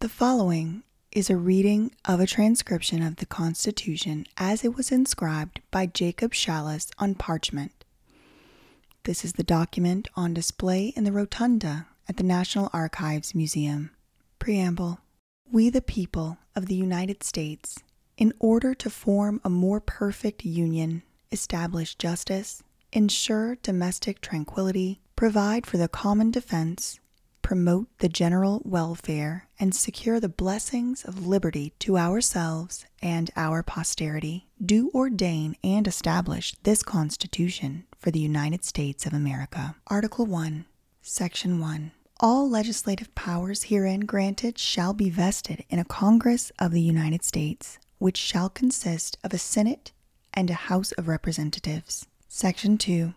The following is a reading of a transcription of the Constitution as it was inscribed by Jacob Shallis on parchment. This is the document on display in the rotunda at the National Archives Museum. Preamble We, the people of the United States, in order to form a more perfect union, establish justice, ensure domestic tranquility, provide for the common defense, promote the general welfare, and secure the blessings of liberty to ourselves and our posterity, do ordain and establish this Constitution for the United States of America. Article 1, Section 1. All legislative powers herein granted shall be vested in a Congress of the United States, which shall consist of a Senate and a House of Representatives. Section 2.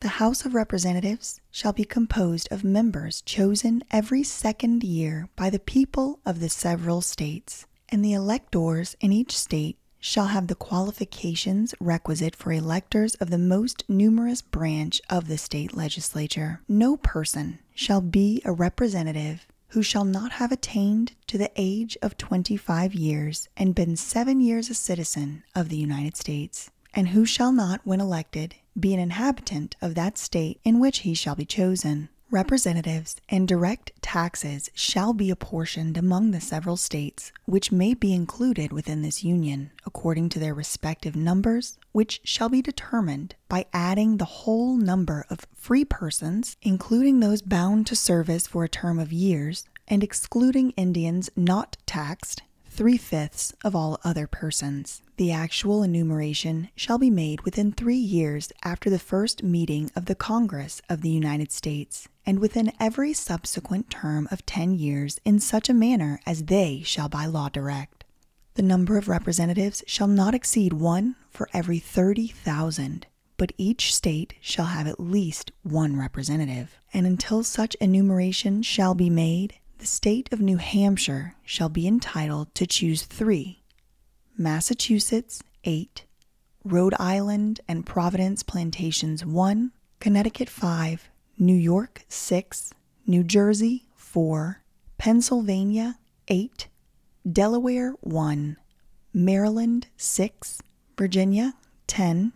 The House of Representatives shall be composed of members chosen every second year by the people of the several states, and the electors in each state shall have the qualifications requisite for electors of the most numerous branch of the state legislature. No person shall be a representative who shall not have attained to the age of 25 years and been seven years a citizen of the United States, and who shall not, when elected, be an inhabitant of that state in which he shall be chosen. Representatives and direct taxes shall be apportioned among the several states which may be included within this union according to their respective numbers, which shall be determined by adding the whole number of free persons, including those bound to service for a term of years, and excluding Indians not taxed, three fifths of all other persons. The actual enumeration shall be made within three years after the first meeting of the Congress of the United States, and within every subsequent term of ten years in such a manner as they shall by law direct. The number of representatives shall not exceed one for every thirty thousand, but each state shall have at least one representative and until such enumeration shall be made, the State of New Hampshire shall be entitled to choose three Massachusetts, eight, Rhode Island and Providence Plantations, one, Connecticut, five, New York, six, New Jersey, four, Pennsylvania, eight, Delaware, one, Maryland, six, Virginia, 10,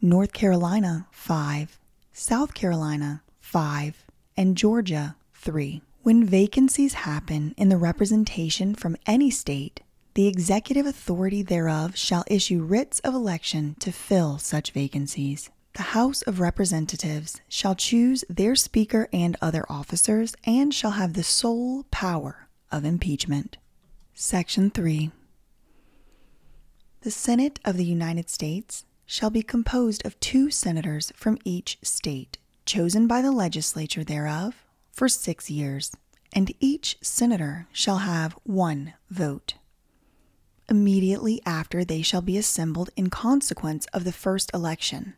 North Carolina, 5, South Carolina, 5, and Georgia, 3. When vacancies happen in the representation from any state, the executive authority thereof shall issue writs of election to fill such vacancies. The House of Representatives shall choose their Speaker and other officers, and shall have the sole power of impeachment. Section 3 The Senate of the United States shall be composed of two senators from each state, chosen by the legislature thereof for six years, and each senator shall have one vote. Immediately after they shall be assembled in consequence of the first election,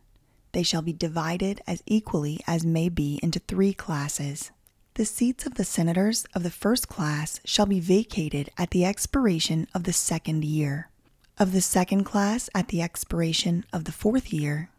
they shall be divided as equally as may be into three classes the seats of the senators of the first class shall be vacated at the expiration of the second year, of the second class at the expiration of the fourth year,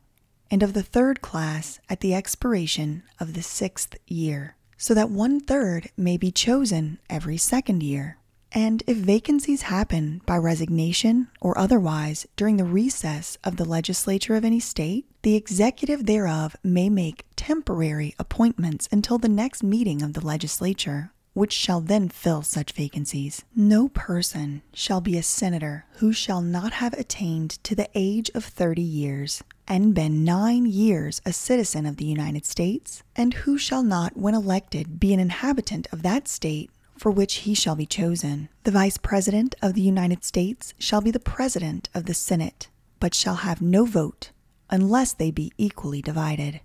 and of the third class at the expiration of the sixth year, so that one third may be chosen every second year. And if vacancies happen by resignation or otherwise during the recess of the legislature of any state, the executive thereof may make temporary appointments until the next meeting of the legislature, which shall then fill such vacancies. No person shall be a senator who shall not have attained to the age of 30 years and been nine years a citizen of the United States, and who shall not, when elected, be an inhabitant of that state for which he shall be chosen. The Vice President of the United States shall be the President of the Senate but shall have no vote unless they be equally divided.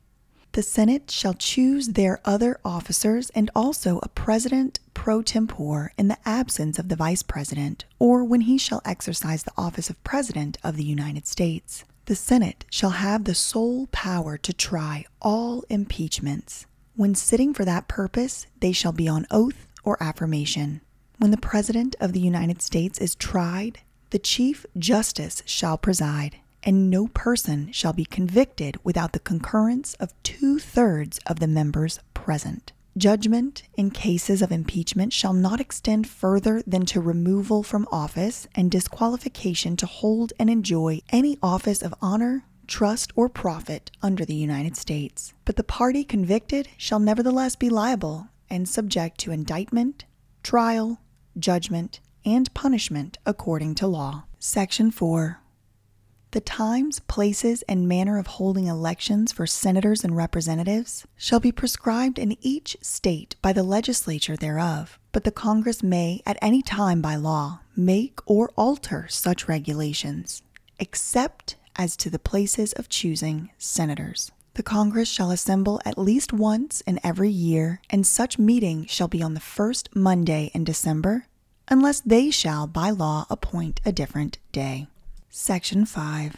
The Senate shall choose their other officers and also a president pro tempore in the absence of the vice president, or when he shall exercise the office of president of the United States. The Senate shall have the sole power to try all impeachments. When sitting for that purpose, they shall be on oath or affirmation. When the President of the United States is tried, the Chief Justice shall preside, and no person shall be convicted without the concurrence of two thirds of the members present. Judgment in cases of impeachment shall not extend further than to removal from office and disqualification to hold and enjoy any office of honor, trust, or profit under the United States. But the party convicted shall nevertheless be liable and subject to indictment, trial, judgment, and punishment according to law. Section 4. The times, places, and manner of holding elections for senators and representatives shall be prescribed in each state by the legislature thereof, but the Congress may, at any time by law, make or alter such regulations, except as to the places of choosing senators. The Congress shall assemble at least once in every year, and such meeting shall be on the first Monday in December, unless they shall by law appoint a different day. Section 5.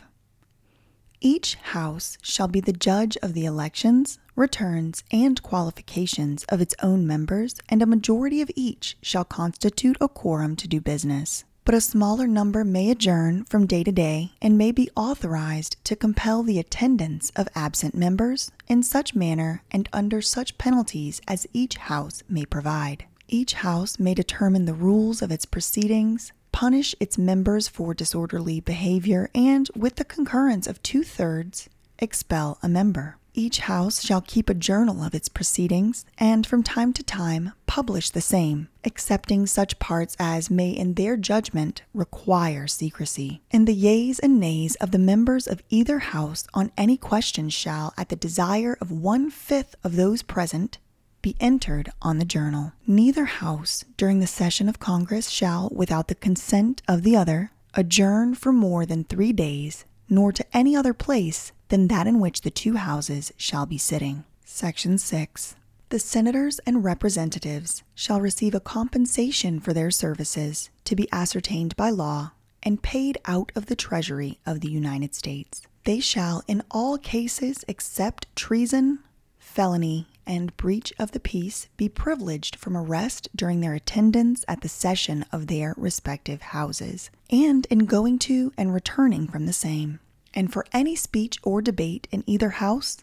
Each House shall be the judge of the elections, returns, and qualifications of its own members, and a majority of each shall constitute a quorum to do business but a smaller number may adjourn from day to day and may be authorized to compel the attendance of absent members in such manner and under such penalties as each house may provide. Each house may determine the rules of its proceedings, punish its members for disorderly behavior, and, with the concurrence of two thirds, expel a member. Each house shall keep a journal of its proceedings and from time to time publish the same them, excepting such parts as may in their judgment require secrecy. And the yeas and nays of the members of either House on any question shall, at the desire of one fifth of those present, be entered on the journal. Neither House during the session of Congress shall, without the consent of the other, adjourn for more than three days, nor to any other place than that in which the two Houses shall be sitting. Section 6. The senators and representatives shall receive a compensation for their services to be ascertained by law and paid out of the Treasury of the United States. They shall, in all cases except treason, felony, and breach of the peace, be privileged from arrest during their attendance at the session of their respective houses, and in going to and returning from the same. And for any speech or debate in either house,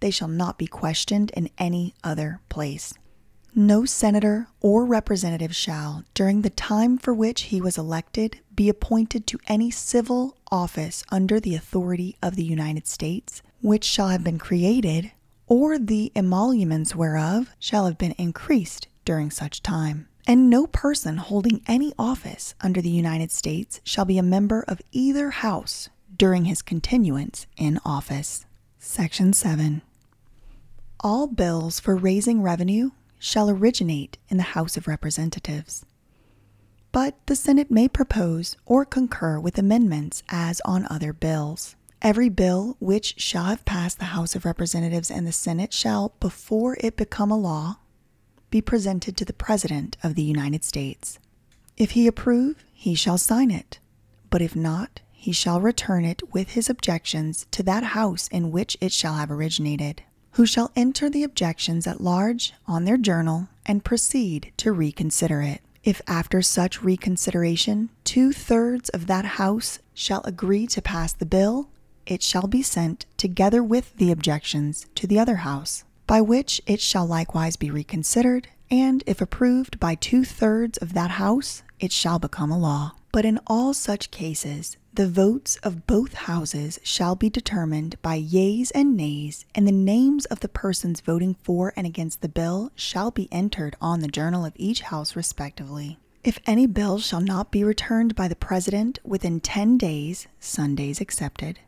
they shall not be questioned in any other place. No senator or representative shall, during the time for which he was elected, be appointed to any civil office under the authority of the United States, which shall have been created, or the emoluments whereof shall have been increased during such time. And no person holding any office under the United States shall be a member of either House during his continuance in office. Section 7. All bills for raising revenue shall originate in the House of Representatives. But the Senate may propose or concur with amendments as on other bills. Every bill which shall have passed the House of Representatives and the Senate shall, before it become a law, be presented to the President of the United States. If he approve, he shall sign it, but if not, he shall return it with his objections to that House in which it shall have originated, who shall enter the objections at large on their journal and proceed to reconsider it. If after such reconsideration two thirds of that House shall agree to pass the bill, it shall be sent, together with the objections, to the other House, by which it shall likewise be reconsidered, and if approved by two thirds of that House, it shall become a law. But in all such cases, the votes of both houses shall be determined by yeas and nays, and the names of the persons voting for and against the bill shall be entered on the journal of each house respectively. If any bill shall not be returned by the President within ten days, Sundays excepted,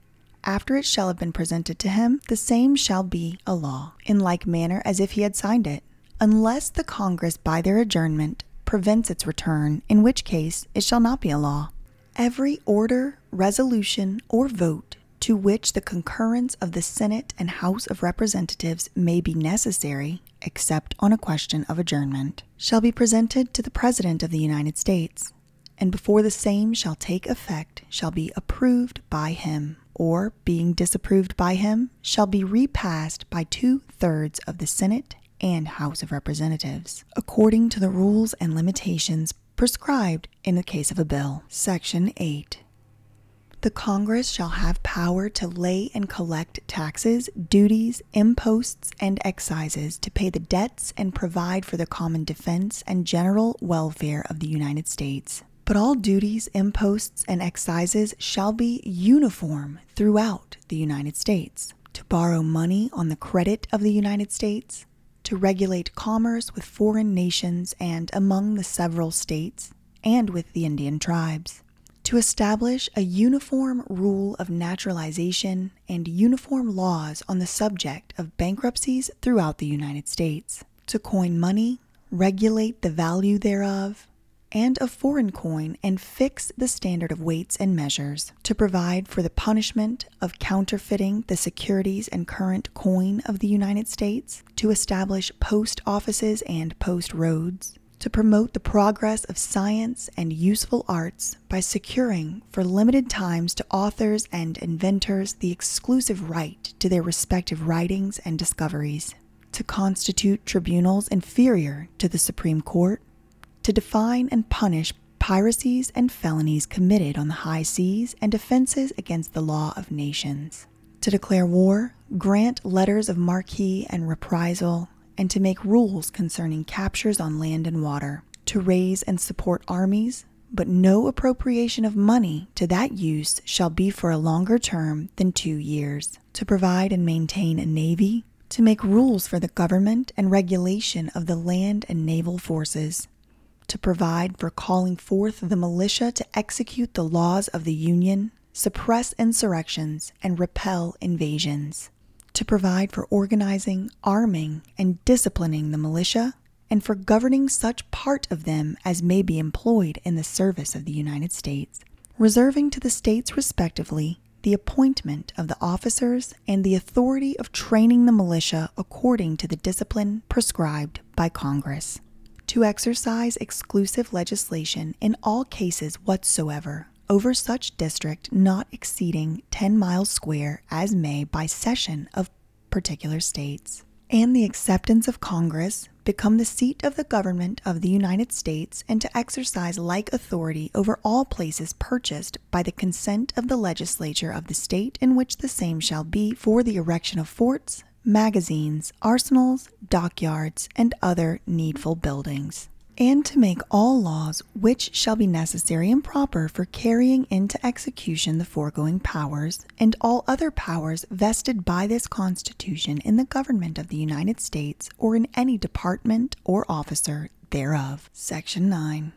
after it shall have been presented to him, the same shall be a law, in like manner as if he had signed it, unless the Congress by their adjournment prevents its return, in which case it shall not be a law. Every order, resolution, or vote to which the concurrence of the Senate and House of Representatives may be necessary, except on a question of adjournment, shall be presented to the President of the United States and before the same shall take effect shall be approved by him, or being disapproved by him, shall be repassed by two thirds of the Senate and House of Representatives, according to the rules and limitations prescribed in the case of a bill. Section 8. The Congress shall have power to lay and collect taxes, duties, imposts, and excises to pay the debts and provide for the common defense and general welfare of the United States. But all duties, imposts, and excises shall be uniform throughout the United States. To borrow money on the credit of the United States, to regulate commerce with foreign nations and among the several states, and with the Indian tribes, to establish a uniform rule of naturalization and uniform laws on the subject of bankruptcies throughout the United States, to coin money, regulate the value thereof, and of foreign coin, and fix the standard of weights and measures, to provide for the punishment of counterfeiting the securities and current coin of the United States, to establish post offices and post roads. To promote the progress of science and useful arts by securing for limited times to authors and inventors the exclusive right to their respective writings and discoveries, to constitute tribunals inferior to the Supreme Court, to define and punish piracies and felonies committed on the high seas and offenses against the law of nations, to declare war, grant letters of marque and reprisal, and to make rules concerning captures on land and water, to raise and support armies, but no appropriation of money to that use shall be for a longer term than two years. To provide and maintain a navy, to make rules for the government and regulation of the land and naval forces, to provide for calling forth the militia to execute the laws of the Union, suppress insurrections, and repel invasions, to provide for organizing, arming, and disciplining the militia, and for governing such part of them as may be employed in the service of the United States, reserving to the states respectively the appointment of the officers and the authority of training the militia according to the discipline prescribed by Congress, to exercise exclusive legislation in all cases whatsoever over such district not exceeding 10 miles square as may by session of particular states, and the acceptance of Congress become the seat of the government of the United States and to exercise like authority over all places purchased by the consent of the legislature of the state in which the same shall be for the erection of forts, magazines, arsenals, dockyards, and other needful buildings. And to make all laws which shall be necessary and proper for carrying into execution the foregoing powers, and all other powers vested by this Constitution in the government of the United States or in any department or officer thereof. Section 9.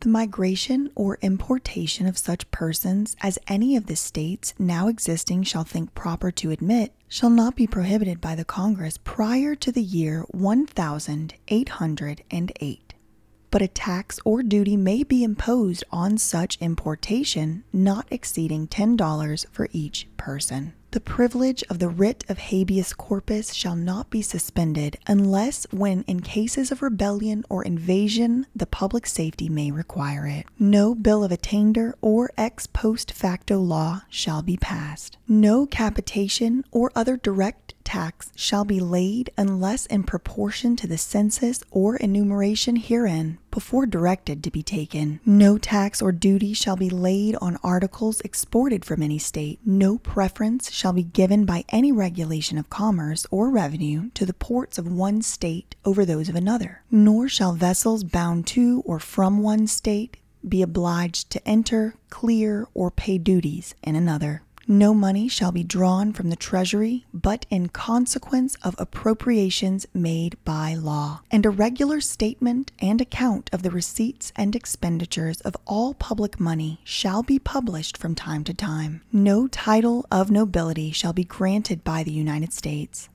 The migration or importation of such persons as any of the states now existing shall think proper to admit shall not be prohibited by the Congress prior to the year 1808 but a tax or duty may be imposed on such importation not exceeding $10 for each person. The privilege of the writ of habeas corpus shall not be suspended unless when in cases of rebellion or invasion the public safety may require it. No bill of attainder or ex post facto law shall be passed. No capitation or other direct tax shall be laid unless in proportion to the census or enumeration herein before directed to be taken. No tax or duty shall be laid on articles exported from any state. No preference shall be given by any regulation of commerce or revenue to the ports of one state over those of another. Nor shall vessels bound to or from one state be obliged to enter, clear, or pay duties in another no money shall be drawn from the treasury but in consequence of appropriations made by law, and a regular statement and account of the receipts and expenditures of all public money shall be published from time to time. No title of nobility shall be granted by the United States,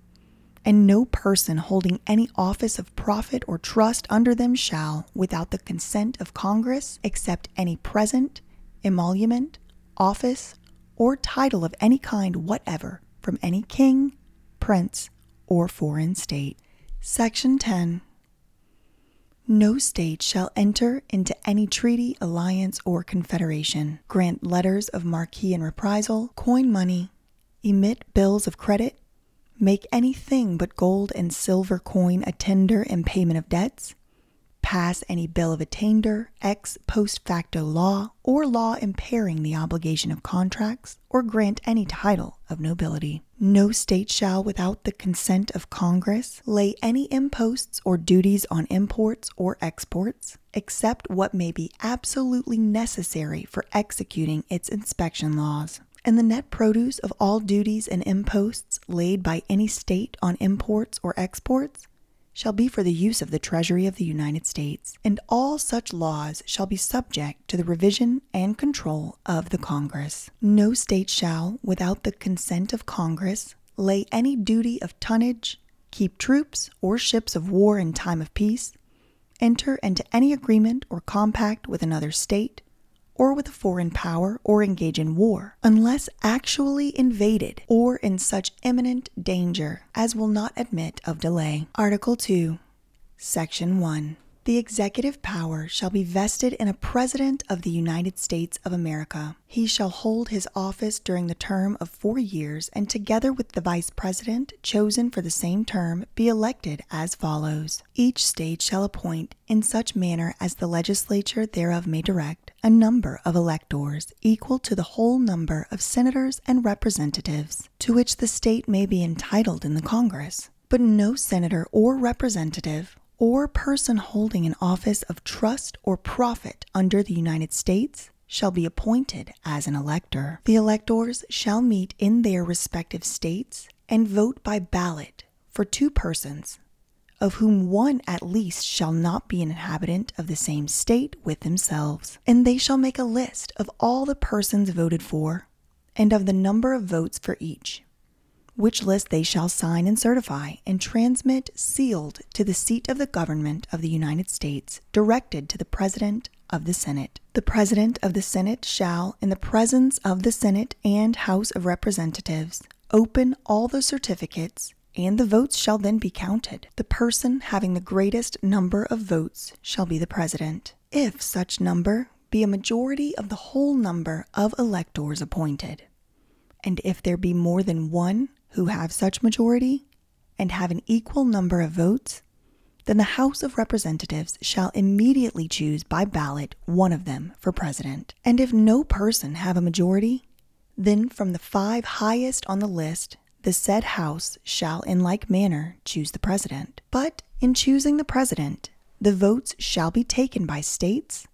and no person holding any office of profit or trust under them shall, without the consent of Congress, accept any present, emolument, office, or title of any kind whatever from any king, prince, or foreign state. Section 10. No state shall enter into any treaty, alliance, or confederation, grant letters of marque and reprisal, coin money, emit bills of credit, make any thing but gold and silver coin a tender in payment of debts, pass any bill of attainder, ex post facto law, or law impairing the obligation of contracts, or grant any title of nobility. No state shall, without the consent of Congress, lay any imposts or duties on imports or exports, except what may be absolutely necessary for executing its inspection laws. And the net produce of all duties and imposts laid by any state on imports or exports shall be for the use of the Treasury of the United States, and all such laws shall be subject to the revision and control of the Congress. No state shall, without the consent of Congress, lay any duty of tonnage, keep troops or ships of war in time of peace, enter into any agreement or compact with another state, or with a foreign power, or engage in war unless actually invaded or in such imminent danger as will not admit of delay. Article 2, Section 1. The executive power shall be vested in a President of the United States of America. He shall hold his office during the term of four years and, together with the Vice President chosen for the same term, be elected as follows. Each state shall appoint, in such manner as the legislature thereof may direct, a number of electors equal to the whole number of senators and representatives to which the state may be entitled in the Congress, but no senator or representative or person holding an office of trust or profit under the United States shall be appointed as an elector. The electors shall meet in their respective states and vote by ballot for two persons of whom one at least shall not be an inhabitant of the same state with themselves. And they shall make a list of all the persons voted for, and of the number of votes for each, which list they shall sign and certify, and transmit sealed to the seat of the government of the United States, directed to the President of the Senate. The President of the Senate shall, in the presence of the Senate and House of Representatives, Open all the certificates, and the votes shall then be counted. The person having the greatest number of votes shall be the president, if such number be a majority of the whole number of electors appointed. And if there be more than one who have such majority, and have an equal number of votes, then the House of Representatives shall immediately choose by ballot one of them for president. And if no person have a majority, then from the five highest on the list, the said House shall in like manner choose the President. But in choosing the President, the votes shall be taken by states,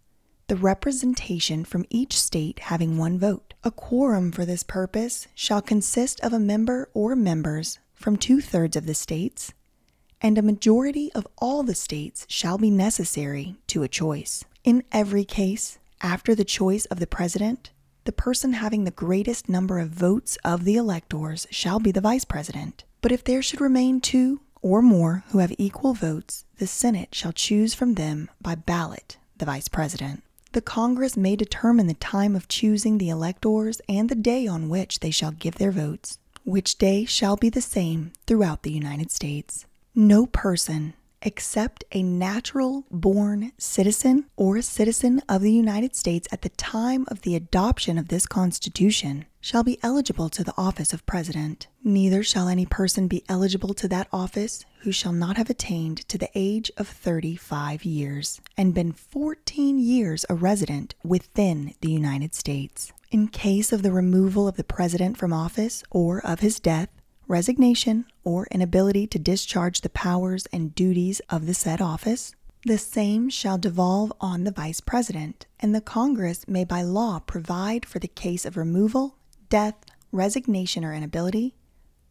the representation from each state having one vote. A quorum for this purpose shall consist of a member or members from two thirds of the states, and a majority of all the states shall be necessary to a choice. In every case, after the choice of the president, the person having the greatest number of votes of the electors shall be the vice president. But if there should remain two or more who have equal votes, the Senate shall choose from them by ballot the vice president. The Congress may determine the time of choosing the electors and the day on which they shall give their votes, which day shall be the same throughout the United States. No person except a natural born citizen or a citizen of the United States at the time of the adoption of this Constitution shall be eligible to the office of President. Neither shall any person be eligible to that office who shall not have attained to the age of 35 years and been 14 years a resident within the United States. In case of the removal of the President from office or of his death, resignation, or inability to discharge the powers and duties of the said office, the same shall devolve on the Vice President, and the Congress may by law provide for the case of removal, death, resignation, or inability,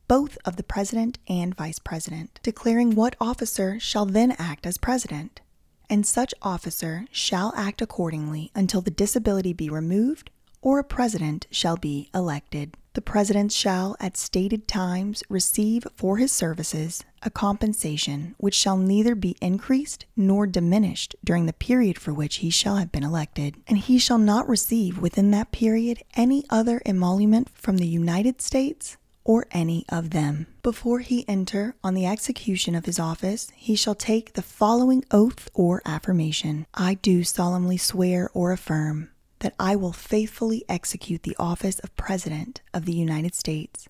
both of the President and Vice President, declaring what officer shall then act as President, and such officer shall act accordingly until the disability be removed or a president shall be elected. The president shall, at stated times, receive for his services a compensation which shall neither be increased nor diminished during the period for which he shall have been elected, and he shall not receive within that period any other emolument from the United States or any of them. Before he enter on the execution of his office, he shall take the following oath or affirmation, I do solemnly swear or affirm that I will faithfully execute the office of President of the United States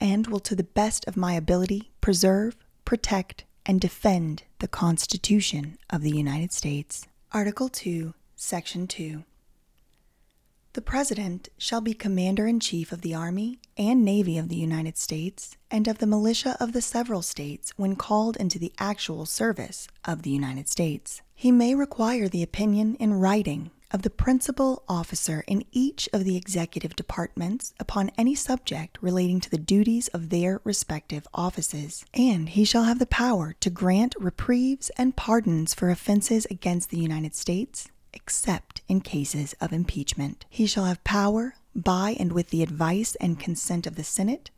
and will, to the best of my ability, preserve, protect, and defend the Constitution of the United States. Article 2, Section 2. The President shall be Commander in Chief of the Army and Navy of the United States and of the militia of the several states when called into the actual service of the United States. He may require the opinion in writing of the principal officer in each of the executive departments upon any subject relating to the duties of their respective offices, and he shall have the power to grant reprieves and pardons for offenses against the United States, except in cases of impeachment. He shall have power, by and with the advice and consent of the Senate,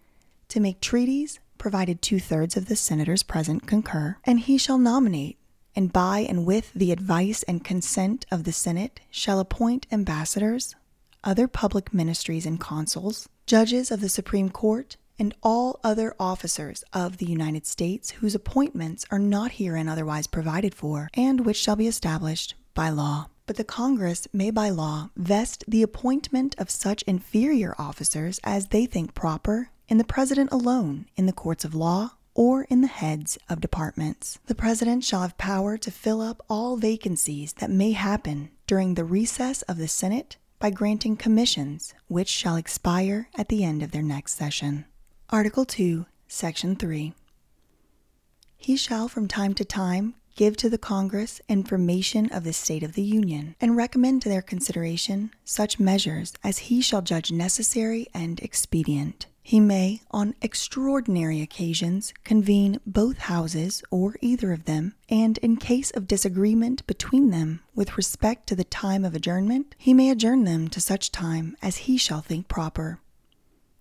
to make treaties, provided two thirds of the senators present concur, and he shall nominate, and by and with the advice and consent of the Senate, shall appoint ambassadors, other public ministers and consuls, judges of the Supreme Court, and all other officers of the United States whose appointments are not herein otherwise provided for, and which shall be established by law. But the Congress may by law vest the appointment of such individuals inferior officers as they think proper in the President alone, in the courts of law, or in the heads of departments. The President shall have power to fill up all vacancies that may happen during the recess of the Senate by granting commissions which shall expire at the end of their next session. Article 2, Section 3. He shall from time to time give to the Congress information of the state of the Union, and recommend to their consideration such measures as he shall judge necessary and expedient. He may, on extraordinary occasions, convene both houses or either of them, and in case of disagreement between them with respect to the time of adjournment, he may adjourn them to such time as he shall think proper.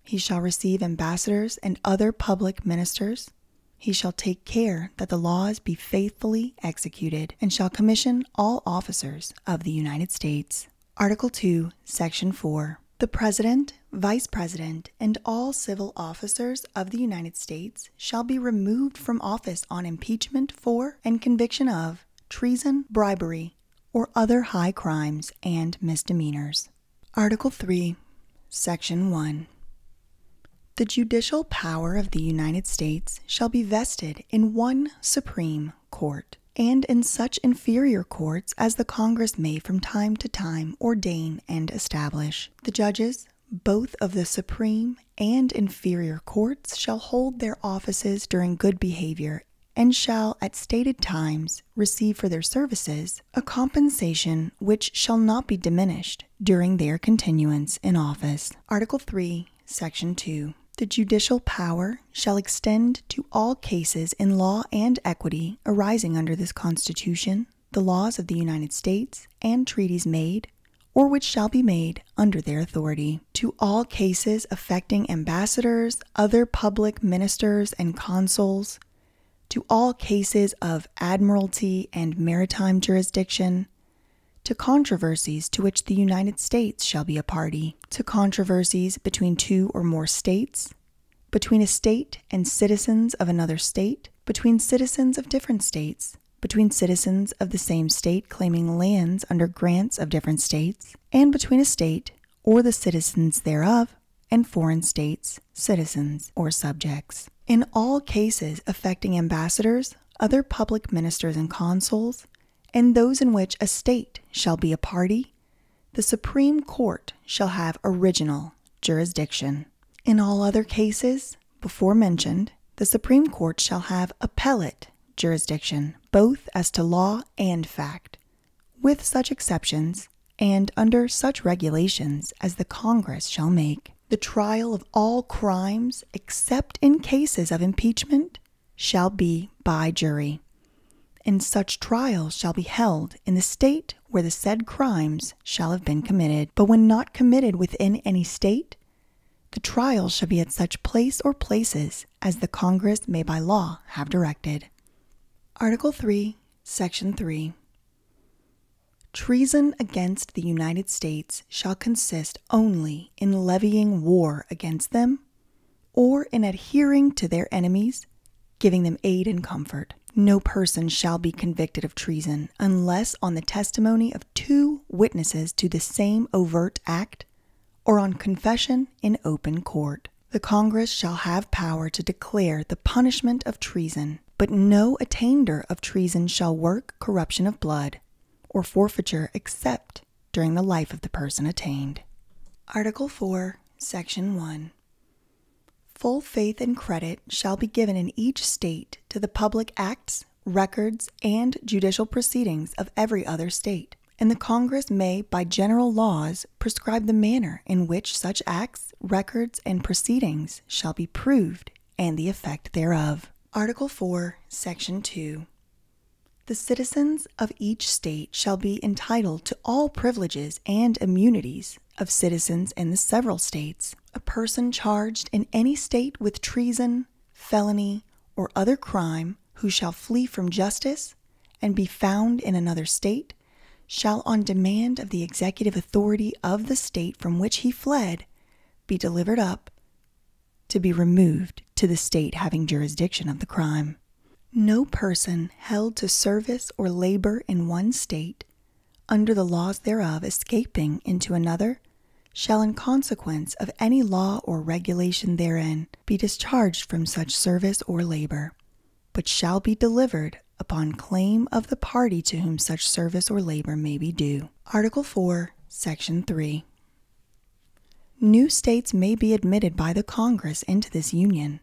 He shall receive ambassadors and other public ministers, he shall take care that the laws be faithfully executed, and shall commission all officers of the United States. Article 2, Section 4. The President, Vice President, and all civil officers of the United States shall be removed from office on impeachment for and conviction of treason, bribery, or other high crimes and misdemeanors. Article 3, Section 1. The judicial power of the United States shall be vested in one Supreme Court, and in such inferior courts as the Congress may from time to time ordain and establish. The judges, both of the Supreme and inferior courts, shall hold their offices during good behavior and shall at stated times receive for their services a compensation which shall not be diminished during their continuance in office. Article 3, Section 2. The judicial power shall extend to all cases in law and equity arising under this Constitution, the laws of the United States, and treaties made or which shall be made under their authority, to all cases affecting ambassadors, other public ministers and consuls, to all cases of admiralty and maritime jurisdiction, to controversies to which the United States shall be a party, to controversies between two or more states, between a state and citizens of another state, between citizens of different states, between citizens of the same state claiming lands under grants of different states, and between a state or the citizens thereof and foreign states, citizens, or subjects in all cases affecting ambassadors, other public ministers and consuls, and those in which a state shall be a party, the Supreme Court shall have original jurisdiction. In all other cases before mentioned, the Supreme Court shall have appellate jurisdiction, both as to law and fact, with such exceptions and under such regulations as the Congress shall make the trial of all crimes, except in cases of impeachment, shall be by jury, and such trial shall be held in the state where the said crimes shall have been committed. But when not committed within any state, the trial shall be at such place or places as the Congress may by law have directed. Article 3, Section 3. Treason against the United States shall consist only in levying war against them, or in adhering to their enemies, giving them aid and comfort. No person shall be convicted of treason unless on the testimony of two witnesses to the same overt act, or on confession in open court. The Congress shall have power to declare the punishment of treason but no attainder of treason shall work corruption of blood or forfeiture except during the life of the person attainted. Article 4, Section 1. Full faith and credit shall be given in each state to the public acts, records, and judicial proceedings of every other state, and the Congress may, by general laws, prescribe the manner in which such acts, records, and proceedings shall be proved and the effect thereof. Article 4, Section 2. The citizens of each state shall be entitled to all privileges and immunities of citizens in the several states. A person charged in any state with treason, felony, or other crime who shall flee from justice and be found in another state shall, on demand of the executive authority of the state from which he fled, be delivered up to be removed to the state having jurisdiction of the crime. No person held to service or labor in one state, under the laws thereof, escaping into another, shall in consequence of any law or regulation therein be discharged from such service or labor, but shall be delivered upon claim of the party to whom such service or labor may be due. Article 4, Section 3. New states may be admitted by the Congress into this Union,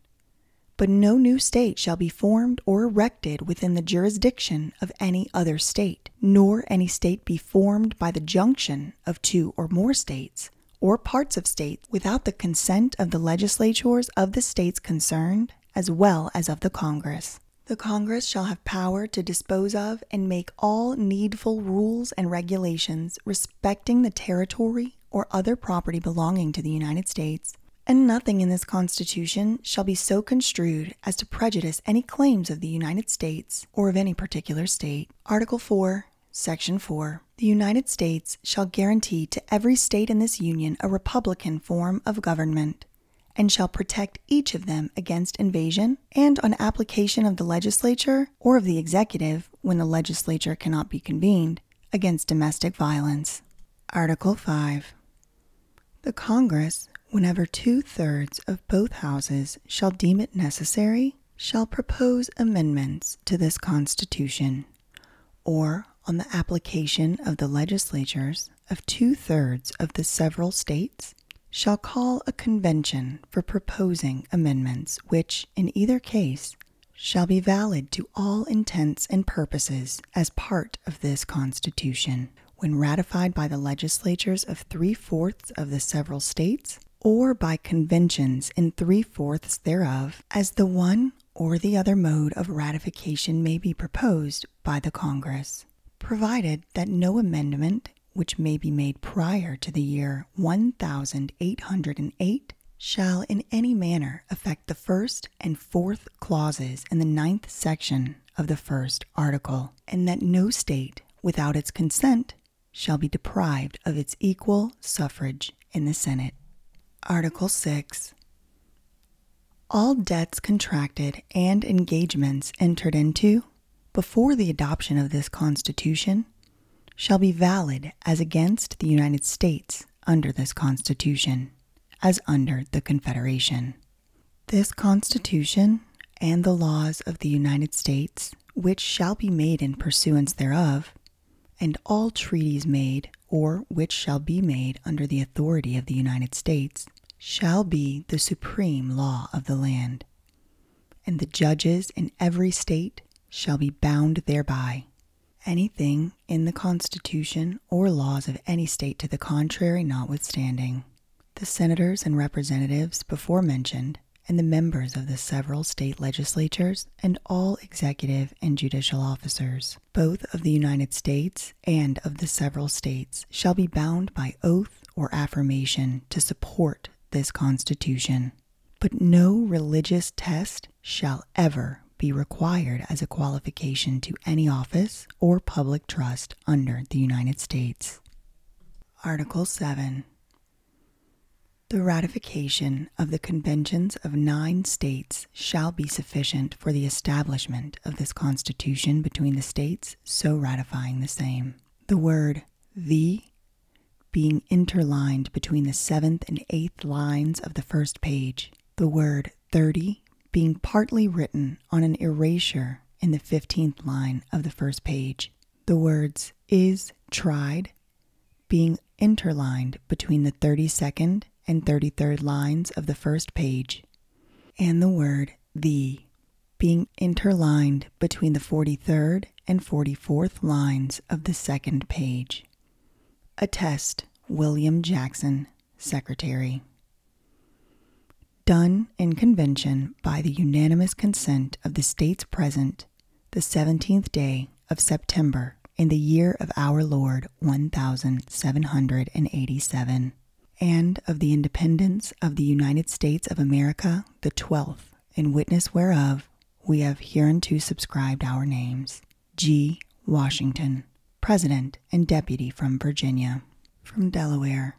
but no new state shall be formed or erected within the jurisdiction of any other state, nor any state be formed by the junction of two or more states, or parts of states, without the consent of the legislatures of the states concerned, as well as of the Congress. The Congress shall have power to dispose of and make all needful rules and regulations respecting the territory or other property belonging to the United States, and nothing in this Constitution shall be so construed as to prejudice any claims of the United States or of any particular state. Article 4, Section 4. The United States shall guarantee to every state in this Union a republican form of government and shall protect each of them against invasion, and on application of the legislature or of the executive, when the legislature cannot be convened, against domestic violence. Article 5. The Congress, whenever two thirds of both houses shall deem it necessary, shall propose amendments to this Constitution, or on the application of the legislatures of two thirds of the several states shall call a convention for proposing amendments which, in either case, shall be valid to all intents and purposes as part of this Constitution, when ratified by the legislatures of three fourths of the several states, or by conventions in three fourths thereof, as the one or the other mode of ratification may be proposed by the Congress provided that no amendment which may be made prior to the year 1808 shall in any manner affect the first and fourth clauses in the ninth section of the first article, and that no state without its consent shall be deprived of its equal suffrage in the Senate. Article 6. All debts contracted and engagements entered into before the adoption of this Constitution shall be valid as against the United States under this Constitution, as under the Confederation. This Constitution and the laws of the United States, which shall be made in pursuance thereof, and all treaties made or which shall be made under the authority of the United States, shall be the supreme law of the land, and the judges in every state shall be bound thereby. Anything in the Constitution or laws of any state to the contrary, notwithstanding. The senators and representatives before mentioned, and the members of the several state legislatures, and all executive and judicial officers, both of the United States and of the several states, shall be bound by oath or affirmation to support this Constitution. But no religious test shall ever be required as a qualification to any office or public trust under the United States. Article 7 The ratification of the conventions of nine states shall be sufficient for the establishment of this Constitution between the states so ratifying the same the word the being interlined between the seventh and eighth lines of the first page, the word thirty being partly written on an erasure in the fifteenth line of the first page, the words is tried being interlined between the thirty second and thirty third lines of the first page, and the word the being interlined between the 43rd and 44th lines of the second page. Attest William Jackson, Secretary. Done in convention by the unanimous consent of the states present the 17th day of September in the year of our Lord 1787 and of the independence of the United States of America the twelfth, in witness whereof we have hereunto subscribed our names. G. Washington, President and Deputy from Virginia. From Delaware,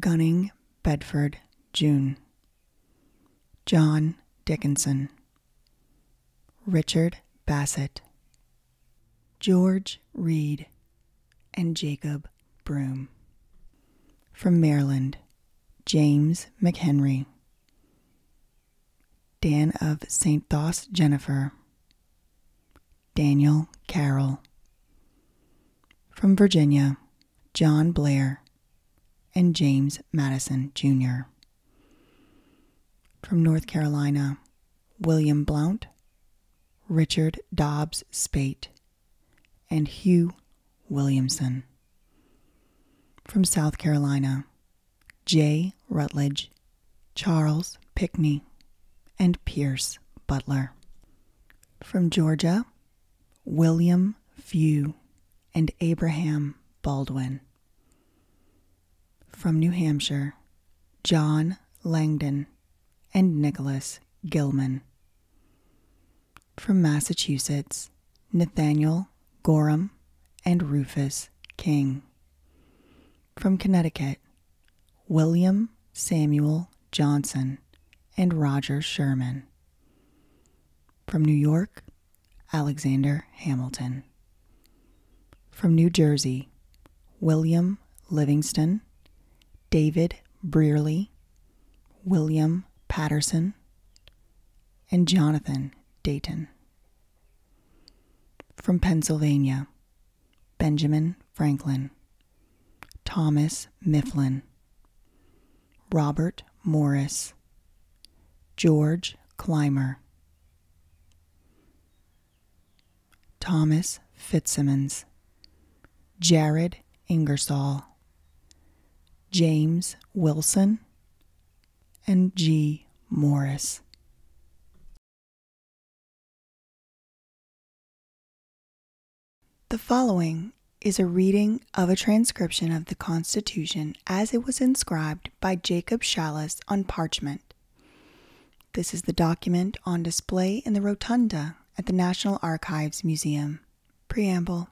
Gunning Bedford, June. John Dickinson, Richard Bassett, George Reed, and Jacob Broom. From Maryland, James McHenry. Dan of St. Thos Jennifer. Daniel Carroll. From Virginia, John Blair and James Madison Jr. From North Carolina, William Blount, Richard Dobbs Spate, and Hugh Williamson. From South Carolina, J. Rutledge, Charles Pickney, and Pierce Butler. From Georgia, William Few and Abraham Baldwin. From New Hampshire, John Langdon and Nicholas Gilman. From Massachusetts, Nathaniel Gorham and Rufus King. From Connecticut, William Samuel Johnson and Roger Sherman. From New York, Alexander Hamilton. From New Jersey, William Livingston, David Brearley William Patterson, and Jonathan Dayton. From Pennsylvania, Benjamin Franklin, Thomas Mifflin, Robert Morris, George Clymer, Thomas Fitzsimmons, Jared Ingersoll, James Wilson, and G. Morris. The following is a reading of a transcription of the Constitution as it was inscribed by Jacob Shallis on parchment. This is the document on display in the rotunda at the National Archives Museum. Preamble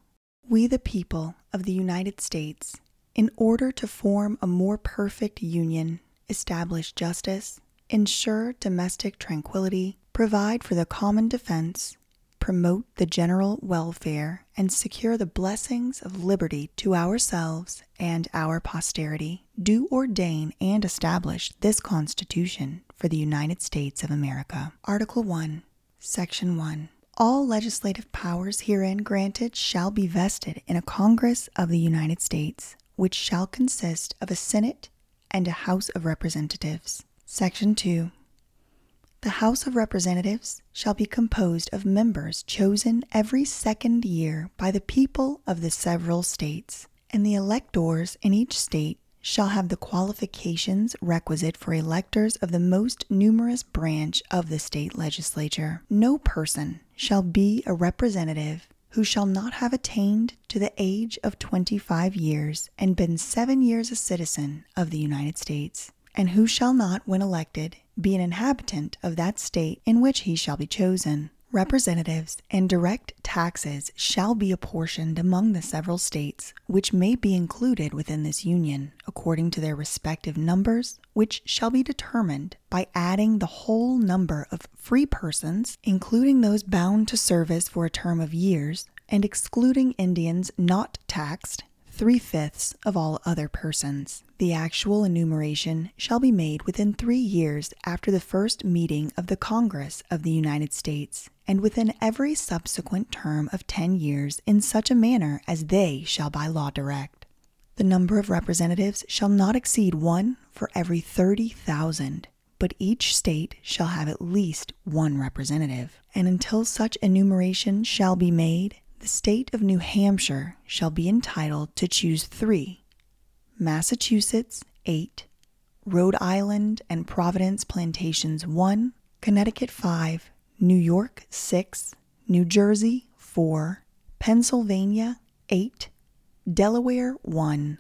We, the people of the United States, in order to form a more perfect union, establish justice, insure domestic tranquility, provide for the common defense, promote the general welfare, and secure the blessings of liberty to ourselves and our posterity, do ordain and establish this Constitution for the United States of America. Article 1, Section 1. All legislative powers herein granted shall be vested in a Congress of the United States, which shall consist of a Senate and a House of Representatives. Section 2. The House of Representatives shall be composed of members chosen every second year by the people of the several states, and the electors in each state shall have the qualifications requisite for electors of the most numerous branch of the state legislature. No person shall be a representative who shall not have attained to the age of 25 years and been 7 years a citizen of the United States, and who shall not when elected be an inhabitant of that state in which he shall be chosen. Representatives and direct taxes shall be apportioned among the several states which may be included within this union according to their respective numbers, which shall be determined by adding the whole number of free persons, including those bound to service for a term of years, and excluding Indians not taxed, three fifths of all other persons. The actual enumeration shall be made within three years after the first meeting of the Congress of the United States and within every subsequent term of ten years in such a manner as they shall by law direct. The number of representatives shall not exceed one for every thirty thousand, but each state shall have at least one representative, and until such enumeration shall be made, the state of New Hampshire shall be entitled to choose three, Massachusetts eight, Rhode Island and Providence Plantations 1, Connecticut 5, New York 6, New Jersey 4, Pennsylvania 8, Delaware 1,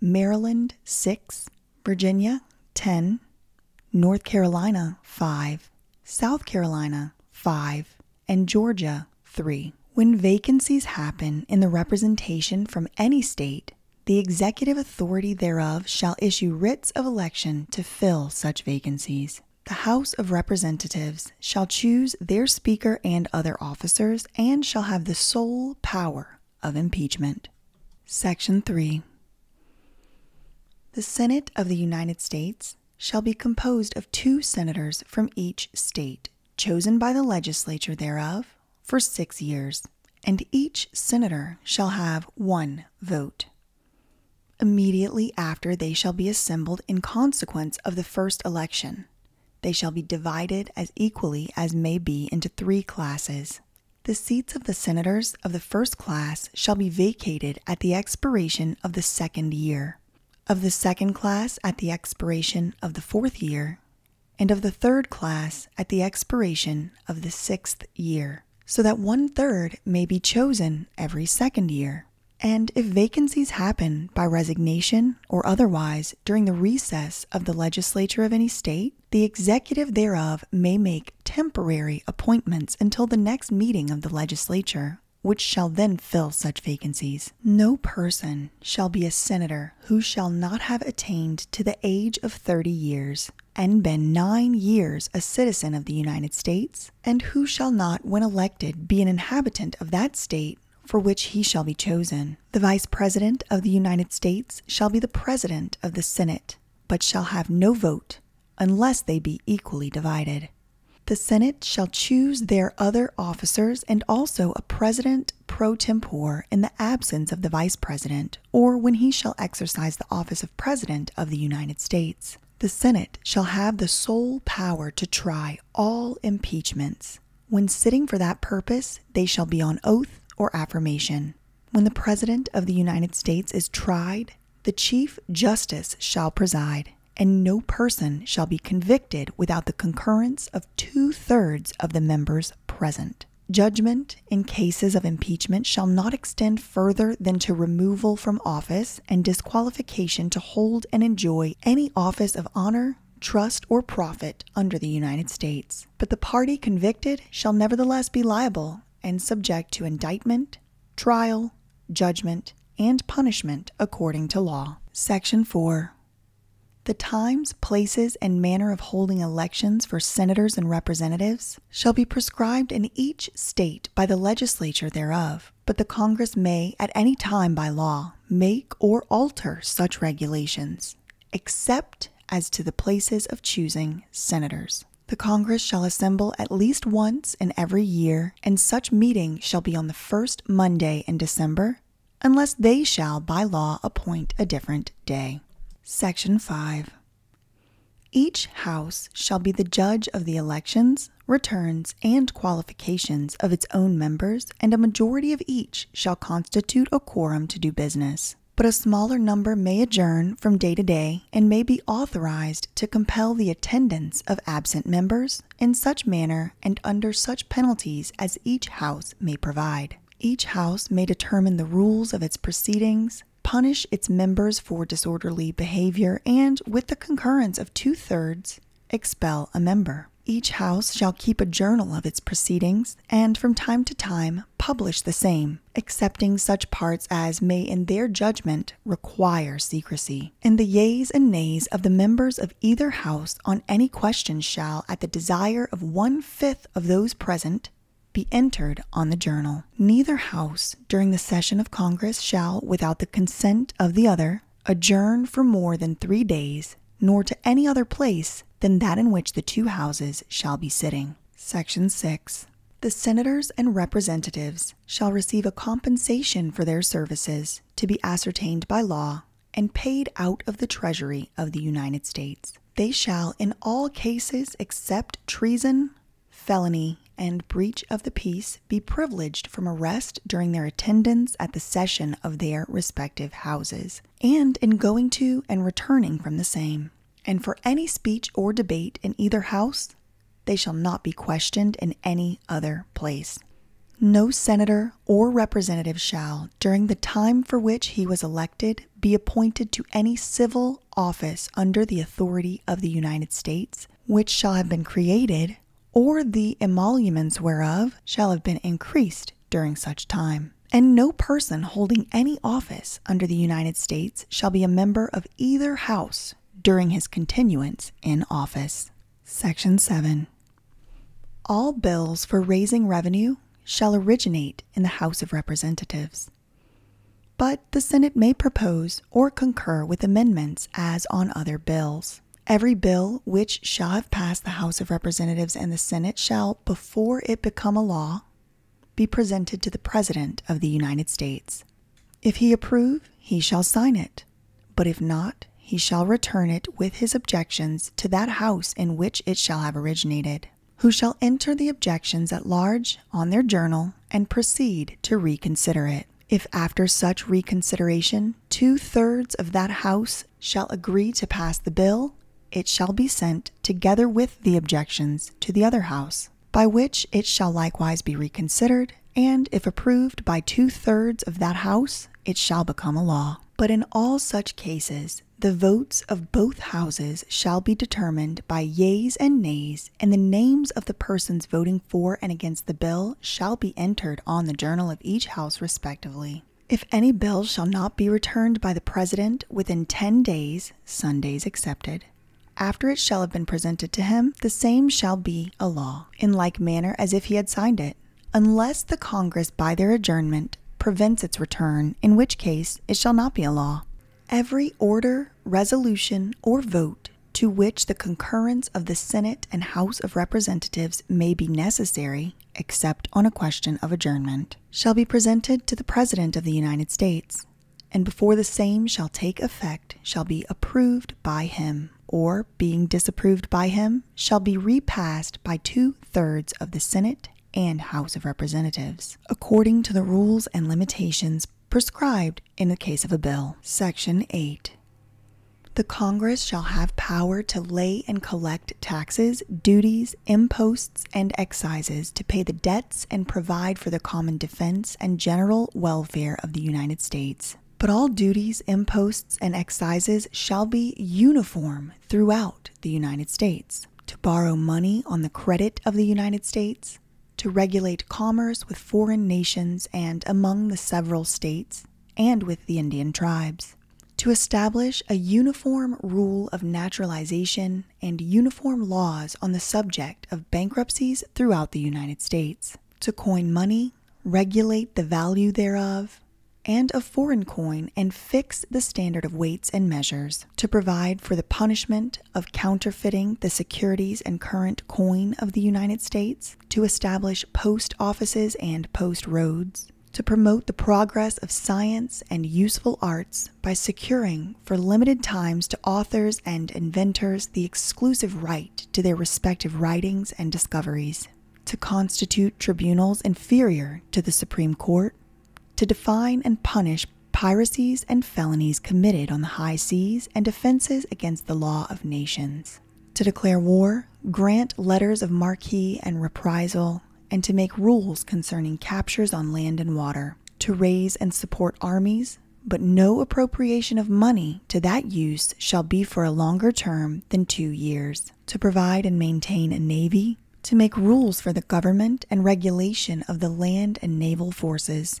Maryland 6, Virginia 10, North Carolina 5, South Carolina 5, and Georgia 3. When vacancies happen in the representation from any state, the executive authority thereof shall issue writs of election to fill such vacancies. The House of Representatives shall choose their Speaker and other officers and shall have the sole power of impeachment. Section 3. The Senate of the United States shall be composed of two senators from each state, chosen by the legislature thereof for six years and each senator shall have one vote. Immediately after they shall be assembled in consequence of the first election, they shall be divided as equally as may be into three classes. The seats of the senators of the first class shall be vacated at the expiration of the second year, of the second class at the expiration of the fourth year, and of the third class at the expiration of the sixth year so that one third may be chosen every second year. And if vacancies happen by resignation or otherwise during the recess of the legislature of any state, the executive thereof may make temporary appointments until the next meeting of the legislature, which shall then fill such vacancies. No person shall be a senator who shall not have attained to the age of thirty years, and been nine years a citizen of the United States, and who shall not, when elected, be an inhabitant of that State for which he shall be chosen. The Vice President of the United States shall be the President of the Senate, but shall have no vote, unless they be equally divided. The Senate shall choose their other officers and also a President pro tempore in the absence of the Vice President, or when he shall exercise the office of President of the United States. The Senate shall have the sole power to try all impeachments. When sitting for that purpose, they shall be on oath or affirmation. When the President of the United States is tried, the Chief Justice shall preside, and no person shall be convicted without the concurrence of two thirds of the members present. Judgment in cases of impeachment shall not extend further than to removal from office and disqualification to hold and enjoy any office of honor, trust, or profit under the United States. But the party convicted shall nevertheless be liable and subject to indictment, trial, judgment, and punishment according to law. Section 4. The times, places, and manner of holding elections for senators and representatives shall be prescribed in each state by the legislature thereof, but the Congress may at any time by law make or alter such regulations, except as to the places of choosing senators. The Congress shall assemble at least once in every year, and such meeting shall be on the first Monday in December, unless they shall by law appoint a different day. Section 5. Each House shall be the judge of the elections, returns, and qualifications of its own members, and a majority of each shall constitute a quorum to do business. But a smaller number may adjourn from day to day and may be authorized to compel the attendance of absent members in such manner and under such penalties as each House may provide. Each House may determine the rules of its proceedings Punish its members for disorderly behavior and, with the concurrence of two thirds, expel a member. Each house shall keep a journal of its proceedings and from time to time publish the same, excepting such parts as may in their judgment require secrecy. And the yeas and nays of the members of either house on any question shall, at the desire of one fifth of those present, be entered on the journal. Neither house during the session of Congress shall, without the consent of the other, adjourn for more than three days, nor to any other place than that in which the two houses shall be sitting. Section 6. The senators and representatives shall receive a compensation for their services to be ascertained by law and paid out of the Treasury of the United States. They shall, in all cases except treason, felony, and breach of the peace be privileged from arrest during their attendance at the session of their respective houses, and in going to and returning from the same. And for any speech or debate in either house, they shall not be questioned in any other place. No senator or representative shall, during the time for which he was elected, be appointed to any civil office under the authority of the United States, which shall have been created, or the emoluments whereof shall have been increased during such time. And no person holding any office under the United States shall be a member of either House during his continuance in office. Section 7. All bills for raising revenue shall originate in the House of Representatives. But the Senate may propose or concur with amendments as on other bills. Every bill which shall have passed the House of Representatives and the Senate shall, before it become a law, be presented to the President of the United States. If he approve, he shall sign it, but if not, he shall return it with his objections to that House in which it shall have originated who shall enter the objections at large on their journal and proceed to reconsider it. If after such reconsideration two thirds of that House shall agree to pass the bill, it shall be sent, together with the objections, to the other House, by which it shall likewise be reconsidered, and if approved by two thirds of that House, it shall become a law. But in all such cases, the votes of both Houses shall be determined by yeas and nays and the names of the persons voting for and against the bill shall be entered on the journal of each house respectively. If any bill shall not be returned by the President within 10 days, Sundays excepted, after it shall have been presented to him, the same shall be a law, in like manner as if he had signed it, unless the Congress by their adjournment prevents its return, in which case it shall not be a law. Every order, resolution, or vote to which the concurrence of the Senate and House of Representatives may be necessary, except on a question of adjournment, shall be presented to the President of the United States, and before the same shall take effect, shall be approved by him, or being disapproved by him, shall be repassed by two thirds of the Senate and House of Representatives, according to the rules and limitations prescribed in the case of a bill. Section 8. The Congress shall have power to lay and collect taxes, duties, imposts, and excises to pay the debts and provide for the common defense and general welfare of the United States. But all duties, imposts, and excises shall be uniform throughout the United States. To borrow money on the credit of the United States, to regulate commerce with foreign nations and among the several states and with the Indian tribes, to establish a uniform rule of naturalization and uniform laws on the subject of bankruptcies throughout the United States, to coin money, regulate the value thereof, and of foreign coin and fix the standard of weights and measures to provide for the punishment of counterfeiting the securities and current coin of the United States, to establish post offices and post roads, to promote the progress of science and useful arts by securing for limited times to authors and inventors the exclusive right to their respective writings and discoveries, to constitute tribunals inferior to the Supreme Court, to define and punish piracies and felonies committed on the high seas and offenses against the law of nations. To declare war, grant letters of marque and reprisal, and to make rules concerning captures on land and water, to raise and support armies, but no appropriation of money to that use shall be for a longer term than two years, to provide and maintain a navy, to make rules for the government and regulation of the land and naval forces,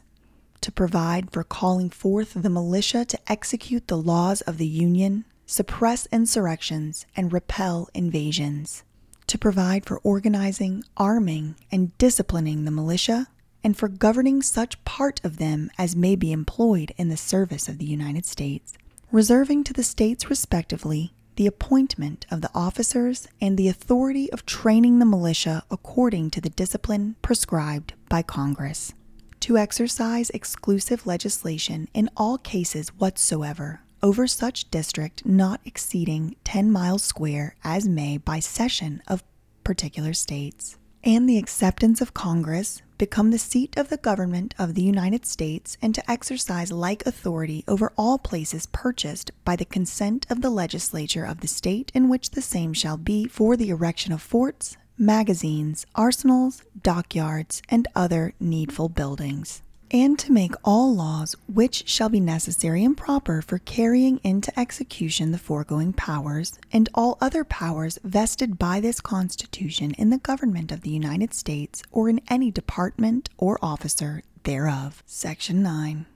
to provide for calling forth the militia to execute the laws of the Union, suppress insurrections, and repel invasions, to provide for organizing, arming, and disciplining the militia, and for governing such part of them as may be employed in the service of the United States, reserving to the States respectively the appointment of the officers and the authority of training the militia according to the discipline prescribed by Congress, to exercise exclusive legislation in all cases whatsoever over such district not exceeding 10 miles square as may by session of particular states, and the acceptance of Congress become the seat of the government of the United States and to exercise like authority over all places purchased by the consent of the legislature of the state in which the same shall be for the erection of forts, magazines, arsenals, dockyards, and other needful buildings, and to make all laws which shall be necessary and proper for carrying into execution the foregoing powers, and all other powers vested by this Constitution in the government of the United States or in any department or officer thereof. Section 9.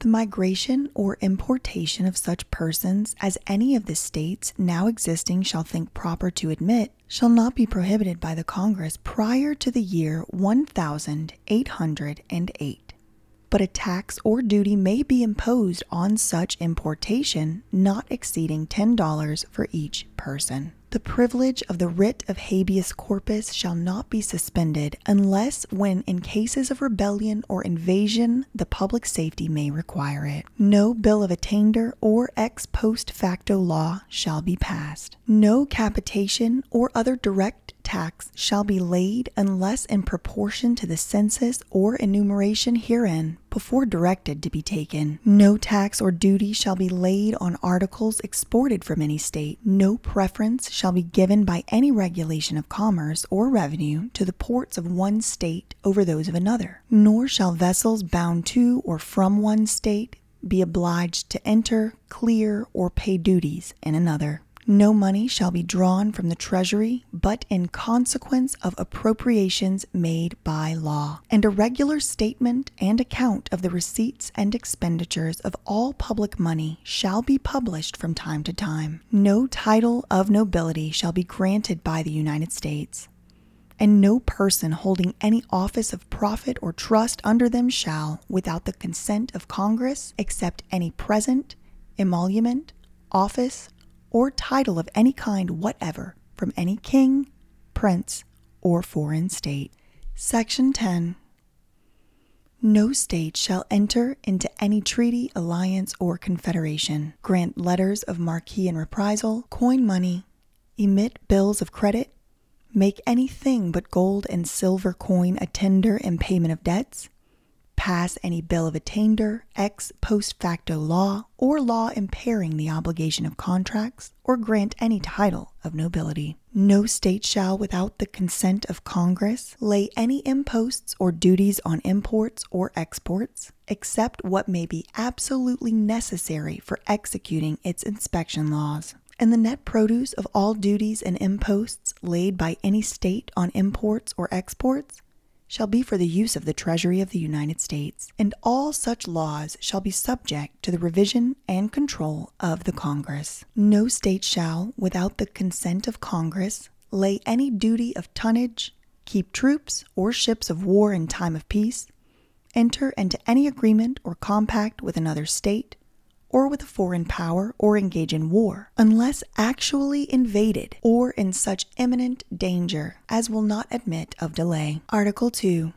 The migration or importation of such persons as any of the states now existing shall think proper to admit shall not be prohibited by the Congress prior to the year 1808. But a tax or duty may be imposed on such importation not exceeding $10 for each person. The privilege of the writ of habeas corpus shall not be suspended unless when in cases of rebellion or invasion the public safety may require it. No bill of attainder or ex post facto law shall be passed. No capitation or other direct tax shall be laid unless in proportion to the census or enumeration herein before directed to be taken. No tax or duty shall be laid on articles exported from any state. No preference shall be given by any regulation of commerce or revenue to the ports of one state over those of another, nor shall vessels bound to or from one state be obliged to enter, clear, or pay duties in another. No money shall be drawn from the Treasury but in consequence of appropriations made by law, and a regular statement and account of the receipts and expenditures of all public money shall be published from time to time no title of nobility shall be granted by the United States, and no person holding any office of profit or trust under them shall, without the consent of Congress, accept any present, emolument, office, or title of any kind whatever from any king, prince, or foreign state. Section 10. No state shall enter into any treaty, alliance, or confederation, grant letters of marque and reprisal, coin money, emit bills of credit, make anything but gold and silver coin a tender in payment of debts, pass any bill of attainder, ex post facto law, or law impairing the obligation of contracts, or grant any title of nobility. No state shall, without the consent of Congress, lay any imposts or duties on imports or exports, except what may be absolutely necessary for executing its inspection laws. And the net produce of all duties and imposts laid by any state on imports or exports shall be for the use of the Treasury of the United States, and all such laws shall be subject to the revision and control of the Congress. No state shall, without the consent of Congress, lay any duty of tonnage, keep troops or ships of war in time of peace, enter into any agreement or compact with another state, or with a foreign power, or engage in war, unless actually invaded or in such imminent danger as will not admit of delay. Article 2,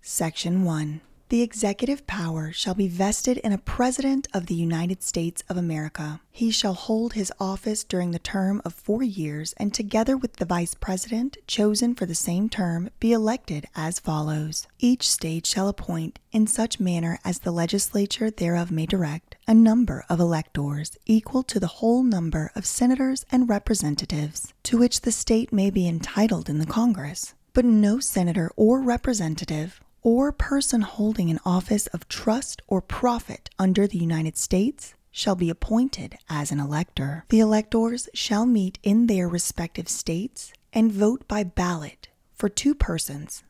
Section 1. The executive power shall be vested in a President of the United States of America, he shall hold his office during the term of four years, and together with the vice president, chosen for the same term, be elected as follows. Each state shall appoint, in such manner as the legislature thereof may direct, a number of electors equal to the whole number of senators and representatives to which the state may be entitled in the Congress. But no senator or representative or person holding an office of trust or profit under the United States shall be appointed as an elector. The electors shall meet in their respective states and vote by ballot for two persons,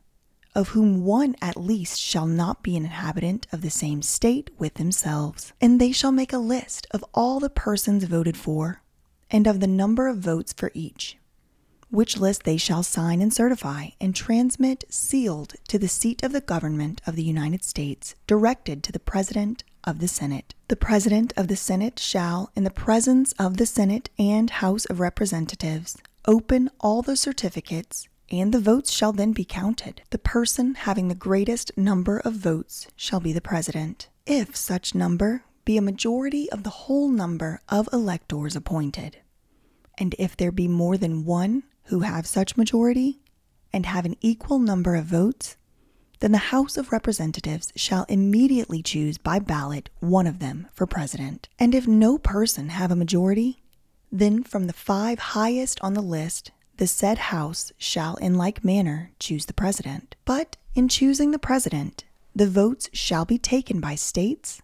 of whom one at least shall not be an inhabitant of the same state with themselves. And they shall make a list of all the persons voted for and of the number of votes for each. Which list they shall sign and certify and transmit sealed to the seat of the government of the United States directed to the President of the Senate. The President of the Senate shall, in the presence of the Senate and House of Representatives, open all the certificates, and the votes shall then be counted. The person having the greatest number of votes shall be the President, if such number be a majority of the whole number of electors appointed. And if there be more than one, who have such majority and have an equal number of votes, then the House of Representatives shall immediately choose by ballot one of them for president. And if no person have a majority, then from the five highest on the list, the said House shall in like manner choose the president. But in choosing the president, the votes shall be taken by states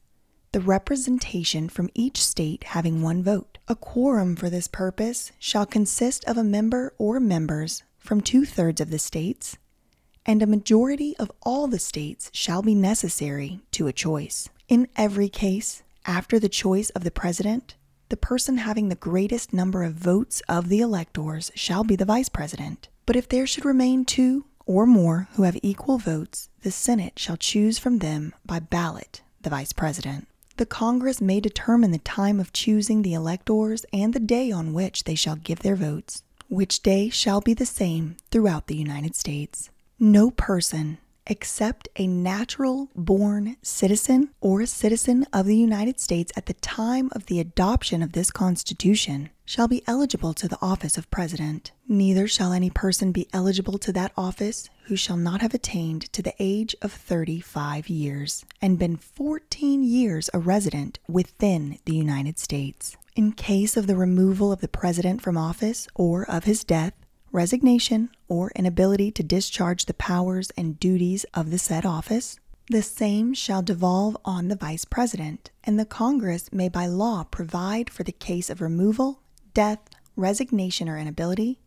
the representation from each state having one vote. A quorum for this purpose shall consist of a member or members from two thirds of the states, and a majority of all the states shall be necessary to a choice. In every case, after the choice of the president, the person having the greatest number of votes of the electors shall be the vice president. But if there should remain two or more who have equal votes, the Senate shall choose from them by ballot the vice president. The Congress may determine the time of choosing the electors and the day on which they shall give their votes, which day shall be the same throughout the United States. No person, except a natural born citizen or a citizen of the United States at the time of the adoption of this Constitution, shall be eligible to the office of President. Neither shall any person be eligible to that office who shall not have attained to the age of 35 years and been 14 years a resident within the United States. In case of the removal of the President from office or of his death, resignation, or inability to discharge the powers and duties of the said office, the same shall devolve on the Vice President, and the Congress may by law provide for the case of removal death, resignation, or inability,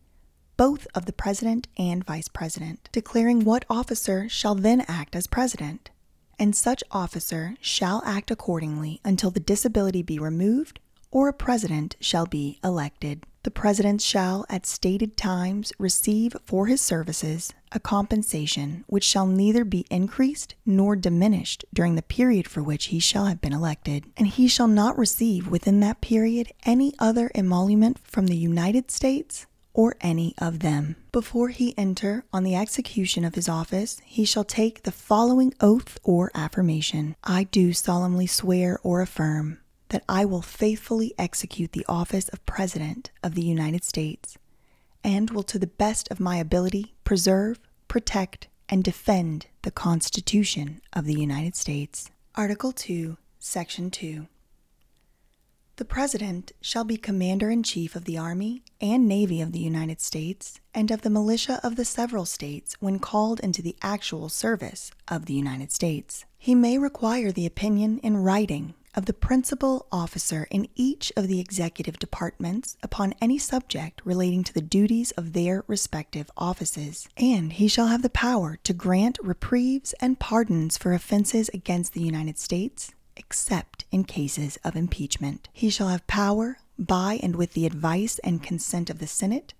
both of the president and vice president, declaring what officer shall then act as president, and such officer shall act accordingly until the disability be removed or a president shall be elected. The president shall, at stated times, receive for his services a compensation which shall neither be increased nor diminished during the period for which he shall have been elected and he shall not receive within that period any other emolument from the United States or any of them. Before he enter on the execution of his office, he shall take the following oath or affirmation I do solemnly swear or affirm that I will faithfully execute the office of President of the United States and will, to the best of my ability, preserve, protect, and defend the Constitution of the United States. Article 2, Section 2. The President shall be Commander in Chief of the Army and Navy of the United States and of the militia of the several states when called into the actual service of the United States. He may require the opinion in writing of the principal officer in each of the executive departments upon any subject relating to the duties of their respective offices and he shall have the power to grant reprieves and pardons for offenses against the United States, except in cases of impeachment. He shall have power, by and with the advice and consent of the Senate,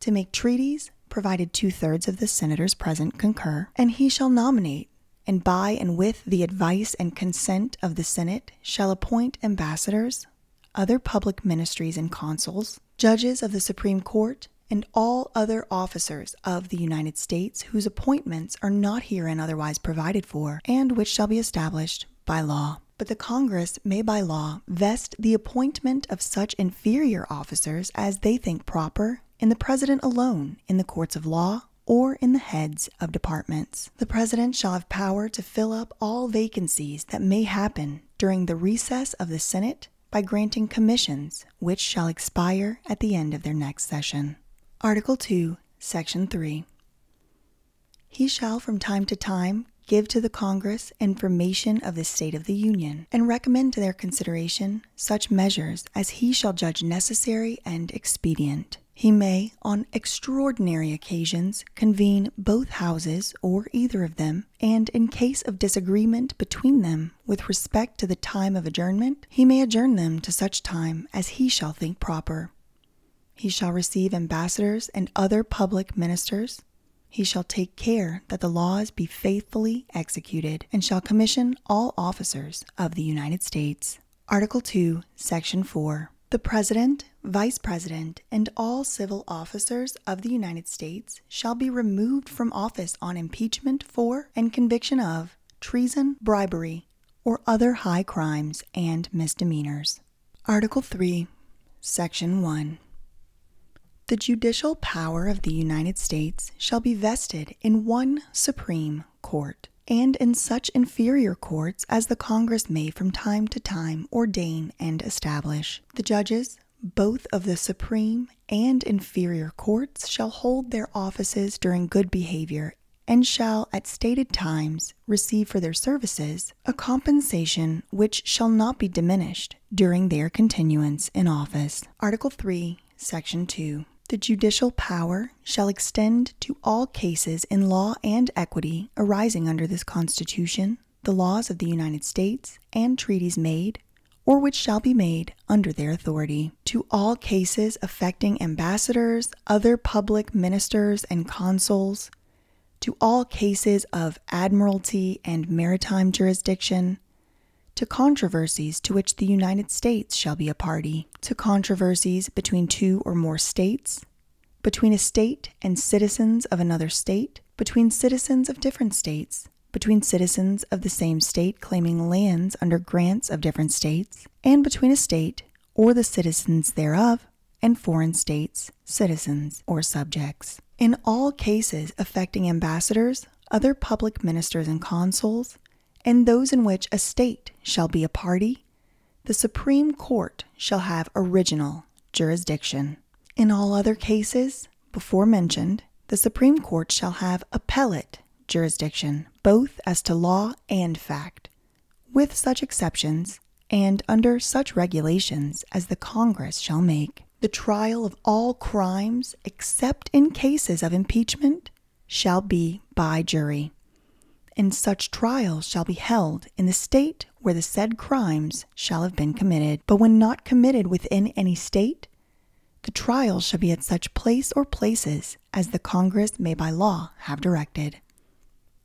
to make treaties, provided two thirds of the senators present concur, and he shall nominate. And by and with the advice and consent of the Senate shall appoint ambassadors, other public ministries and consuls, judges of the Supreme Court, and all other officers of the United States whose appointments are not herein otherwise provided for, and which shall be established by law. But the Congress may by law vest the appointment of such inferior officers as they think proper in the President alone in the courts of law or in the heads of departments. The President shall have power to fill up all vacancies that may happen during the recess of the Senate by granting commissions which shall expire at the end of their next session. Article 2, Section 3. He shall from time to time give to the Congress information of the state of the Union and recommend to their consideration such measures as he shall judge necessary and expedient. He may, on extraordinary occasions, convene both houses or either of them and in case of disagreement between them with respect to the time of adjournment, he may adjourn them to such time as he shall think proper. He shall receive ambassadors and other public ministers. He shall take care that the laws be faithfully executed, and shall commission all officers of the United States. Article 2, Section 4. The President, Vice President, and all civil officers of the United States shall be removed from office on impeachment for and conviction of treason, bribery, or other high crimes and misdemeanors. Article 3, Section 1. The judicial power of the United States shall be vested in one Supreme Court, and in such inferior courts as the Congress may from time to time ordain and establish. The judges, both of the supreme and inferior courts shall hold their offices during good behavior and shall at stated times receive for their services a compensation which shall not be diminished during their continuance in office article 3 section 2 the judicial power shall extend to all cases in law and equity arising under this constitution the laws of the United States and treaties made or which shall be made under their authority, to all cases affecting ambassadors, other public ministers, and consuls, to all cases of admiralty and maritime jurisdiction, to controversies to which the United States shall be a party, to controversies between two or more states, between a state and citizens of another state, between citizens of different states, between citizens of the same state claiming lands under grants of different states, and between a state or the citizens thereof and foreign states, citizens, or subjects. In all cases affecting ambassadors, other public ministers and consuls, and those in which a state shall be a party, the Supreme Court shall have original jurisdiction. In all other cases, before mentioned, the Supreme Court shall have appellate jurisdiction both as to law and fact, with such exceptions and under such regulations as the Congress shall make. The trial of all crimes, except in cases of impeachment, shall be by jury, and such trials shall be held in the state where the said crimes shall have been committed, but when not committed within any state, the trial shall be at such place or places as the Congress may by law have directed.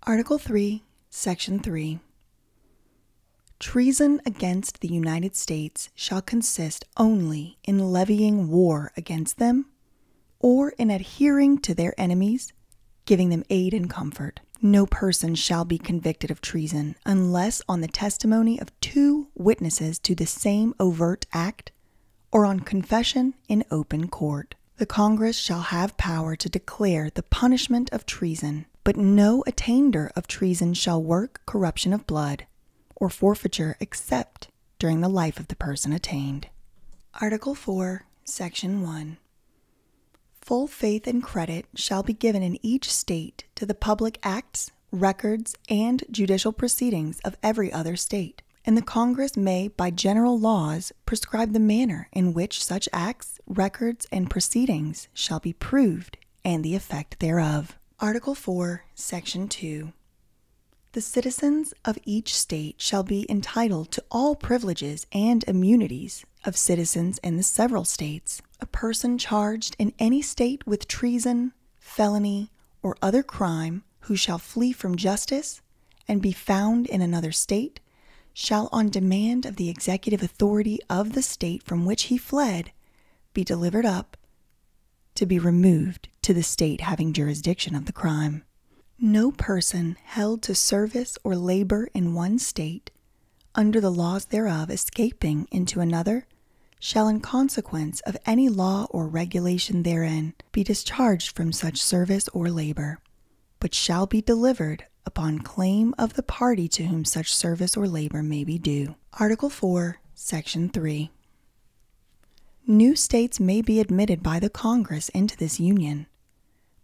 Article 3, Section 3. Treason against the United States shall consist only in levying war against them or in adhering to their enemies, giving them aid and comfort. No person shall be convicted of treason unless on the testimony of two witnesses to the same overt act or on confession in open court. The Congress shall have power to declare the punishment of treason, but no attainder of treason shall work corruption of blood or forfeiture except during the life of the person attainted. Article 4, Section 1. Full faith and credit shall be given in each state to the public acts, records, and judicial proceedings of every other state, and the Congress may, by general laws, prescribe the manner in which such acts, records, and proceedings shall be proved and the effect thereof. Article 4, Section 2. The citizens of each state shall be entitled to all privileges and immunities of citizens in the several states, a person charged in any state with treason, felony, or other crime who shall flee from justice and be found in another state shall, on demand of the executive authority of the state from which he fled, be delivered up to be removed to the state having jurisdiction of the crime. No person held to service or labor in one state under the laws thereof escaping into another shall in consequence of any law or regulation therein be discharged from such service or labor, but shall be delivered upon claim of the party to whom such service or labor may be due. Article 4, Section 3. New states may be admitted by the Congress into this Union,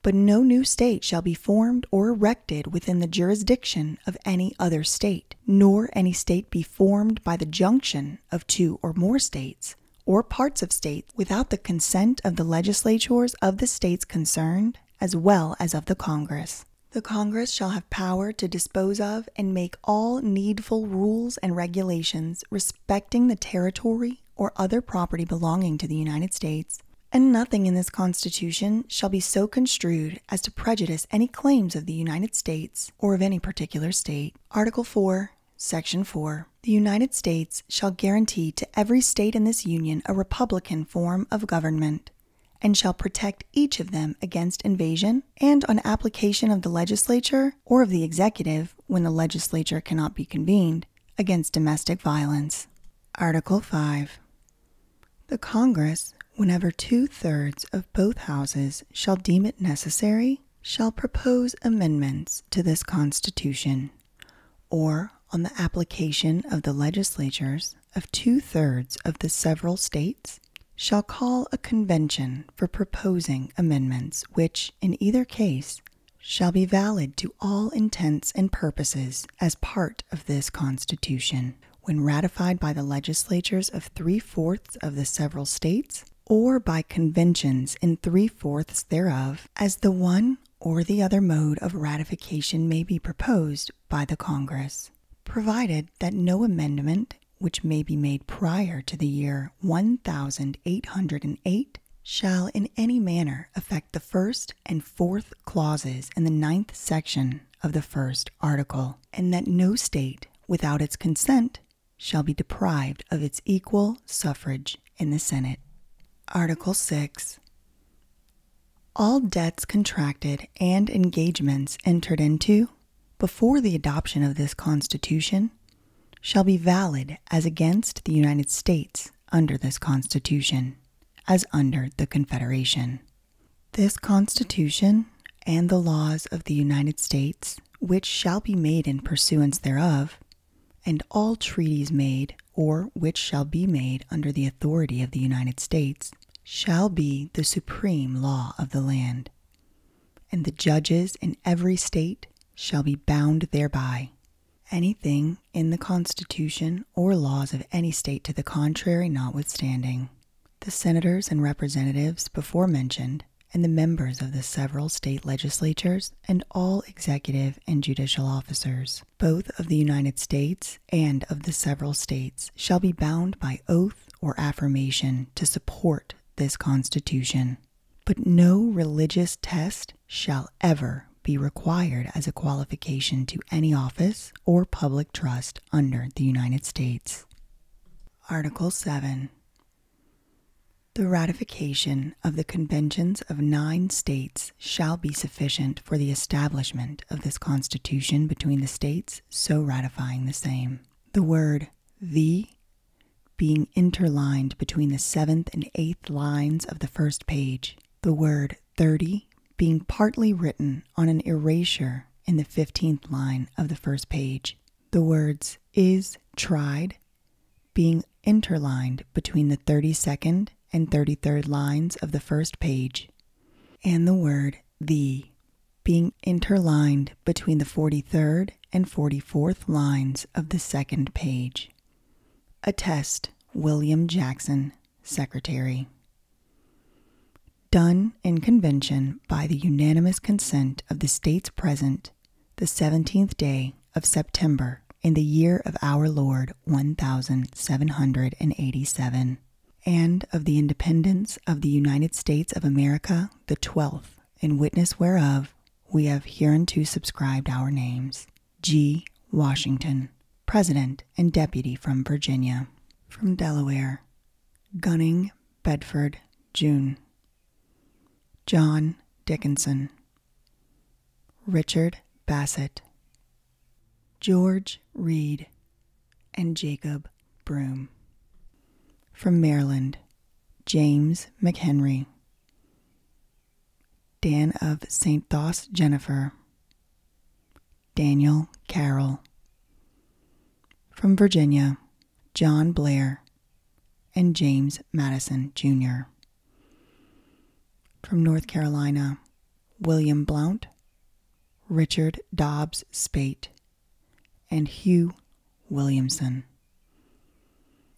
but no new state shall be formed or erected within the jurisdiction of any other state nor any state be formed by the junction of two or more states, or parts of states, without the consent of the legislatures of the states concerned, as well as of the Congress. The Congress shall have power to dispose of and make all needful rules and regulations respecting the territory or other property belonging to the United States. And nothing in this Constitution shall be so construed as to prejudice any claims of the United States or of any particular state. Article 4, Section 4. The United States shall guarantee to every state in this Union a republican form of government, and shall protect each of them against invasion, and on application of the legislature or of the executive, when the legislature cannot be convened, against domestic violence. Article 5. The Congress, whenever two thirds of both houses shall deem it necessary, shall propose amendments to this Constitution, or on the application of the legislatures of two thirds of the several States, shall call a convention for proposing amendments which, in either case, shall be valid to all intents and purposes as part of this Constitution, when ratified by the legislatures of three fourths of the several states, or by conventions in three fourths thereof, as the one or the other mode of ratification may be proposed by the Congress, provided that no amendment which may be made prior to the year 1808 shall in any manner affect the first and fourth clauses in the ninth section of the first article, and that no state, without its consent, shall be deprived of its equal suffrage in the Senate. Article 6. All debts contracted and engagements entered into before the adoption of this Constitution shall be valid as against the United States under this Constitution, as under the Confederation. This Constitution and the laws of the United States, which shall be made in pursuance thereof, and all treaties made or which shall be made under the authority of the United States, shall be the supreme law of the land, and the judges in every state shall be bound thereby. Anything in the Constitution or laws of any state to the contrary notwithstanding. The senators and representatives before mentioned, and the members of the several state legislatures, and all executive and judicial officers, both of the United States and of the several states, shall be bound by oath or affirmation to support this Constitution. But no religious test shall ever be required as a qualification to any office or public trust under the United States. Article 7 The ratification of the conventions of nine states shall be sufficient for the establishment of this Constitution between the states so ratifying the same. The word the being interlined between the seventh and eighth lines of the first page, the word "thirty" being partly written on an erasure in the 15th line of the first page. The words is tried being interlined between the 32nd and 33rd lines of the first page, and the word the being interlined between the 43rd and 44th lines of the second page. Attest William Jackson, Secretary. Done in convention by the unanimous consent of the states present the 17th day of September in the year of our Lord 1787, and of the independence of the United States of America the 12th, in witness whereof we have hereunto subscribed our names. G. Washington, President and Deputy from Virginia, from Delaware, Gunning, Bedford, June. John Dickinson. Richard Bassett. George Reed. And Jacob Broom. From Maryland, James McHenry. Dan of St. Thos Jennifer. Daniel Carroll. From Virginia, John Blair and James Madison, Jr. From North Carolina, William Blount, Richard Dobbs Spaight, and Hugh Williamson.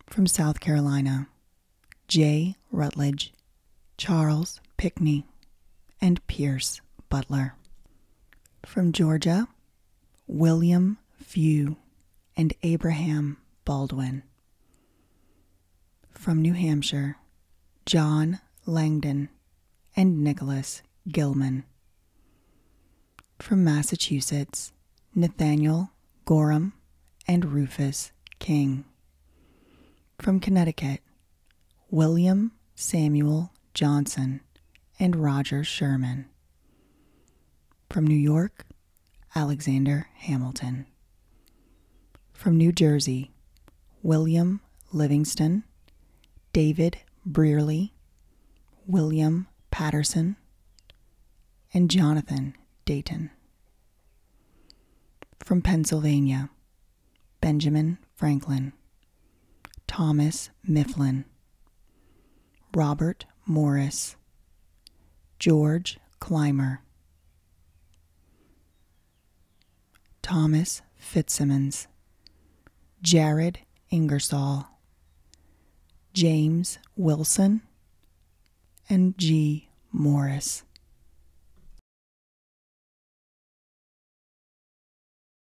From South Carolina, J. Rutledge, Charles Pickney, and Pierce Butler. From Georgia, William Few and Abraham Baldwin. From New Hampshire, John Langdon and Nicholas Gilman. From Massachusetts, Nathaniel Gorham and Rufus King. From Connecticut, William Samuel Johnson, and Roger Sherman. From New York, Alexander Hamilton. From New Jersey, William Livingston, David Brearley, William Patterson, and Jonathan Dayton. From Pennsylvania, Benjamin Franklin Thomas Mifflin, Robert Morris, George Clymer, Thomas Fitzsimmons, Jared Ingersoll, James Wilson, and G. Morris.